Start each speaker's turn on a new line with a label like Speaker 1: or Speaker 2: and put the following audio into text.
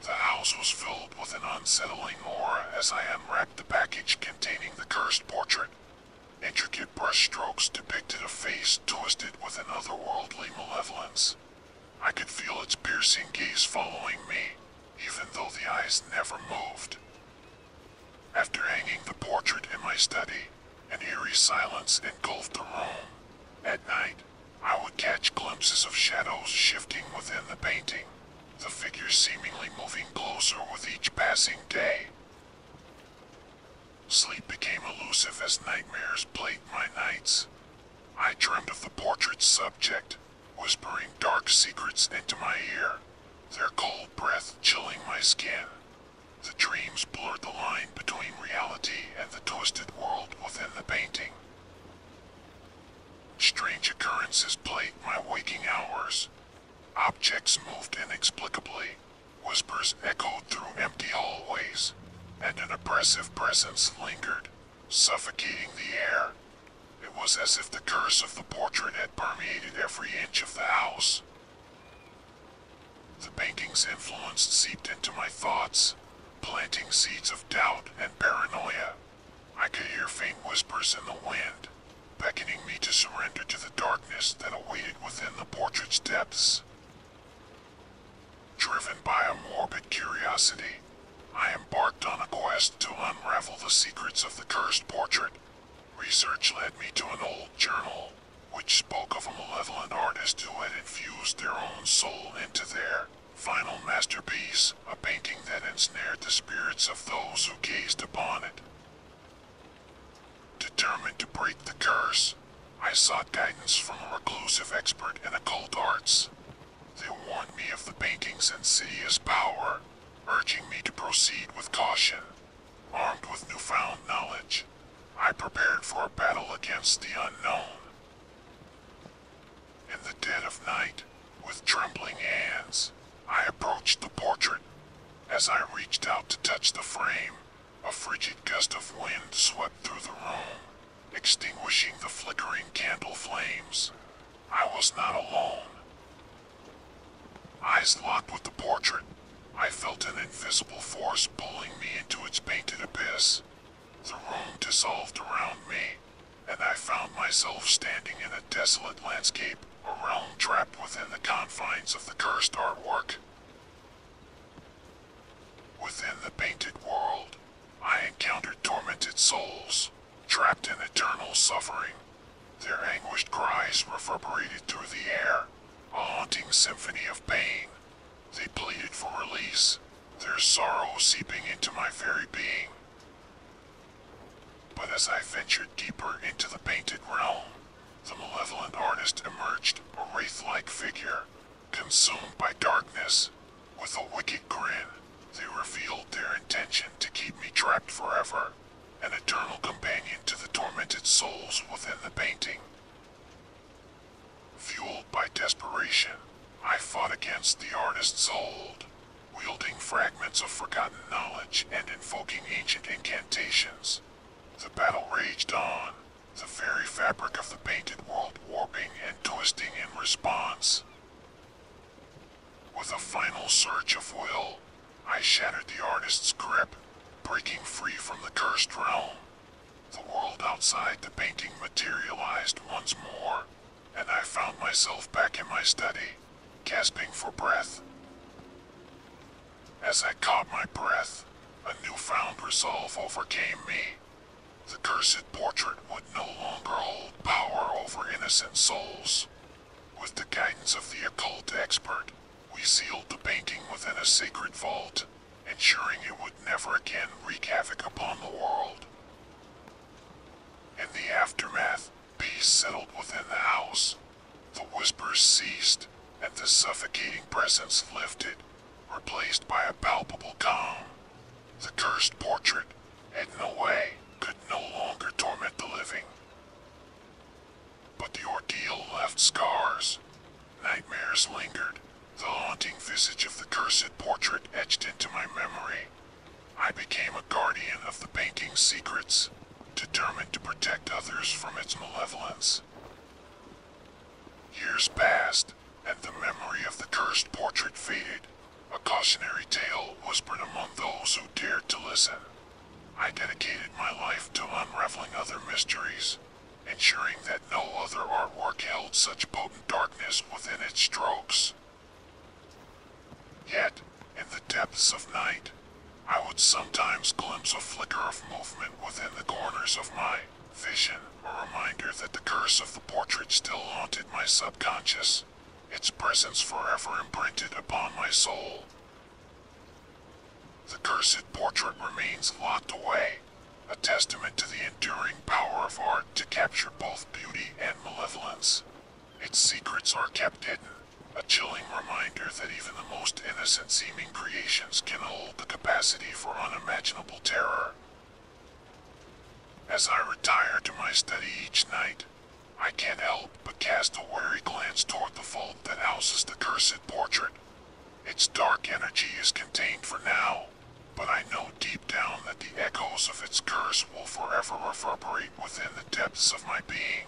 Speaker 1: The house was filled with an unsettling horror as I unwrapped the package containing the cursed portrait. Intricate brushstrokes depicted a face twisted with an otherworldly malevolence. I could feel its piercing gaze following me, even though the eyes never moved. After hanging the portrait in my study, an eerie silence engulfed the room. At night, I would catch glimpses of shadows shifting within the painting, the figures seemingly moving closer with each passing day. Sleep became elusive as nightmares plagued my nights. I dreamed of the portrait's subject, whispering dark secrets into my ear, their cold breath chilling my skin. The dreams blurred the line between reality and the twisted world within the painting. Strange occurrences plagued my waking hours. Objects moved inexplicably, whispers echoed through empty hallways, and an oppressive presence lingered, suffocating the air. It was as if the curse of the portrait had permeated every inch of the house. The painting's influence seeped into my thoughts, planting seeds of doubt and paranoia. I could hear faint whispers in the wind, beckoning me to surrender to the darkness that awaited within the portrait's depths. Driven by a morbid curiosity, I embarked on a quest to unravel the secrets of the cursed portrait. Research led me to an old journal, which spoke of a malevolent artist who had infused their own soul into their final masterpiece, a painting that ensnared the spirits of those who gazed upon it. Determined to break the curse, I sought guidance from a reclusive expert in occult arts. They warned me of the painting's insidious power, urging me to proceed with caution. Armed with newfound knowledge, I prepared for a battle against the unknown. In the dead of night, with trembling hands, I approached the portrait. As I reached out to touch the frame, a frigid gust of wind swept through the room, extinguishing the flickering candle flames. I was not alone. Eyes locked with the portrait, I felt an invisible force pulling me into its painted abyss. The room dissolved around me, and I found myself standing in a desolate landscape, a realm trapped within the confines of the cursed artwork. Within the painted world, I encountered tormented souls, trapped in eternal suffering, their anguished cries reverberated through the air, a haunting symphony of pain. They pleaded for release, their sorrow seeping into my very being. But as I ventured deeper into the painted realm, the malevolent artist emerged, a wraith-like figure, consumed by darkness. With a wicked grin, they revealed their intention to keep me trapped forever an eternal companion to the tormented souls within the painting. Fueled by desperation, I fought against the artist's hold, wielding fragments of forgotten knowledge and invoking ancient incantations. The battle raged on, the very fabric of the painted world warping and twisting in response. With a final surge of will, I shattered the artist's grip, breaking free from the cursed realm. The world outside the painting materialized once more, and I found myself back in my study, gasping for breath. As I caught my breath, a newfound resolve overcame me. The cursed portrait would no longer hold power over innocent souls. With the guidance of the occult expert, we sealed the painting within a sacred vault, ensuring it would never again wreak havoc upon the world. In the aftermath, peace settled within the house. The whispers ceased, and the suffocating presence lifted, replaced by a palpable calm. The cursed portrait, hidden away, could no longer torment the living. But the ordeal left scars. Nightmares lingered, the haunting visage of the cursed portrait etched into my memory. I became a guardian of the painting's secrets, determined to protect others from its malevolence. Years passed, and the memory of the cursed portrait faded, a cautionary tale whispered among those who dared to listen. I dedicated my life to unraveling other mysteries, ensuring that no other artwork held such potent darkness within its strokes. Yet, in the depths of night, I would sometimes glimpse a flicker of movement within the corners of my vision a reminder that the curse of the portrait still haunted my subconscious, its presence forever imprinted upon my soul. The cursed portrait remains locked away, a testament to the enduring power of art to capture both beauty and malevolence. Its secrets are kept hidden, a chilling reminder that even the most innocent seeming creations can hold the capacity for unimaginable terror. As I retire to my study each night, I can't help but cast a wary glance toward the vault that houses the cursed portrait. Its dark energy is contained for now, but I know deep down that the echoes of its curse will forever reverberate within the depths of my being.